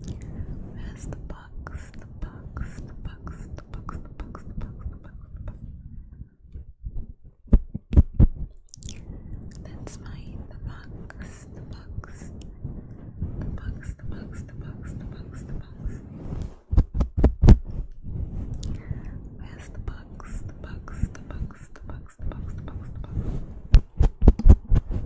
Where's the box? The box, the box, the box, the box, the box, the box, the box. That's mine. The box, the box, the box, the box, the box, the box, the box. Where's the box? The box, the box, the box, the box, the box, the box.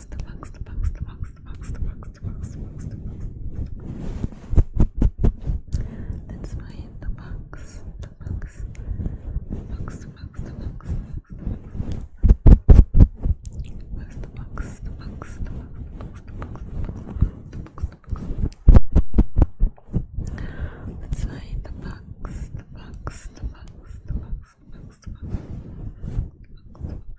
box, the box, the box, the box, the box, the box, the box, the box, the box. Let's find the box, the box, the box, the box, the box, the box. Where's the box? The box, the box, the box, the box, the box, the box, the box. Let's find the box, the box, the box, the box, the box, the box, the box.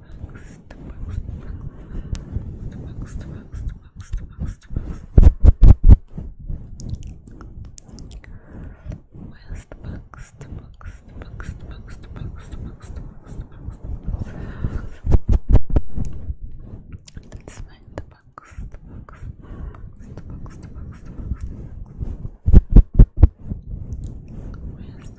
most, the most, the most, the most, the most, the most, the most. Where's the box? The box, the box, the box, the box, the box, the box, the box, the box. Let's find the box, the box, the box, the box, the box, the box. Where's the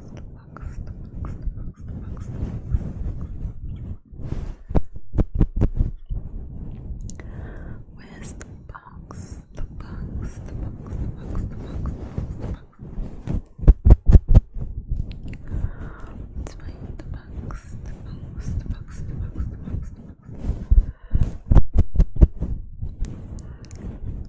box, the box, the box, the box, the box, the box. Where's the box? The box, the box, the box, the box, the box, the box. It's my the box, the box, the box, the box, the box, the box.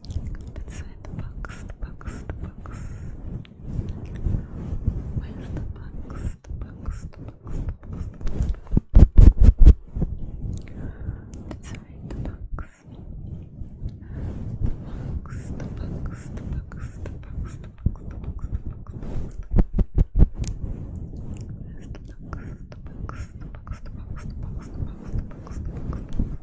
inside the box, the box, the box. Where's the box? The box, the box, the box, the box. Inside the box. The box, the box, the box, the box, the box, the box, the box, the box. Where's the box? The box, the box, the box, the box, the box, the box, the box, the box.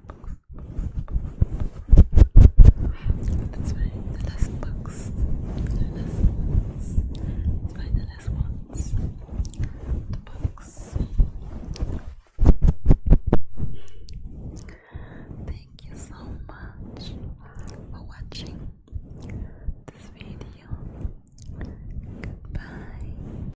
the last box. The last ones. the last ones. The box. Thank you so much for watching this video. Goodbye.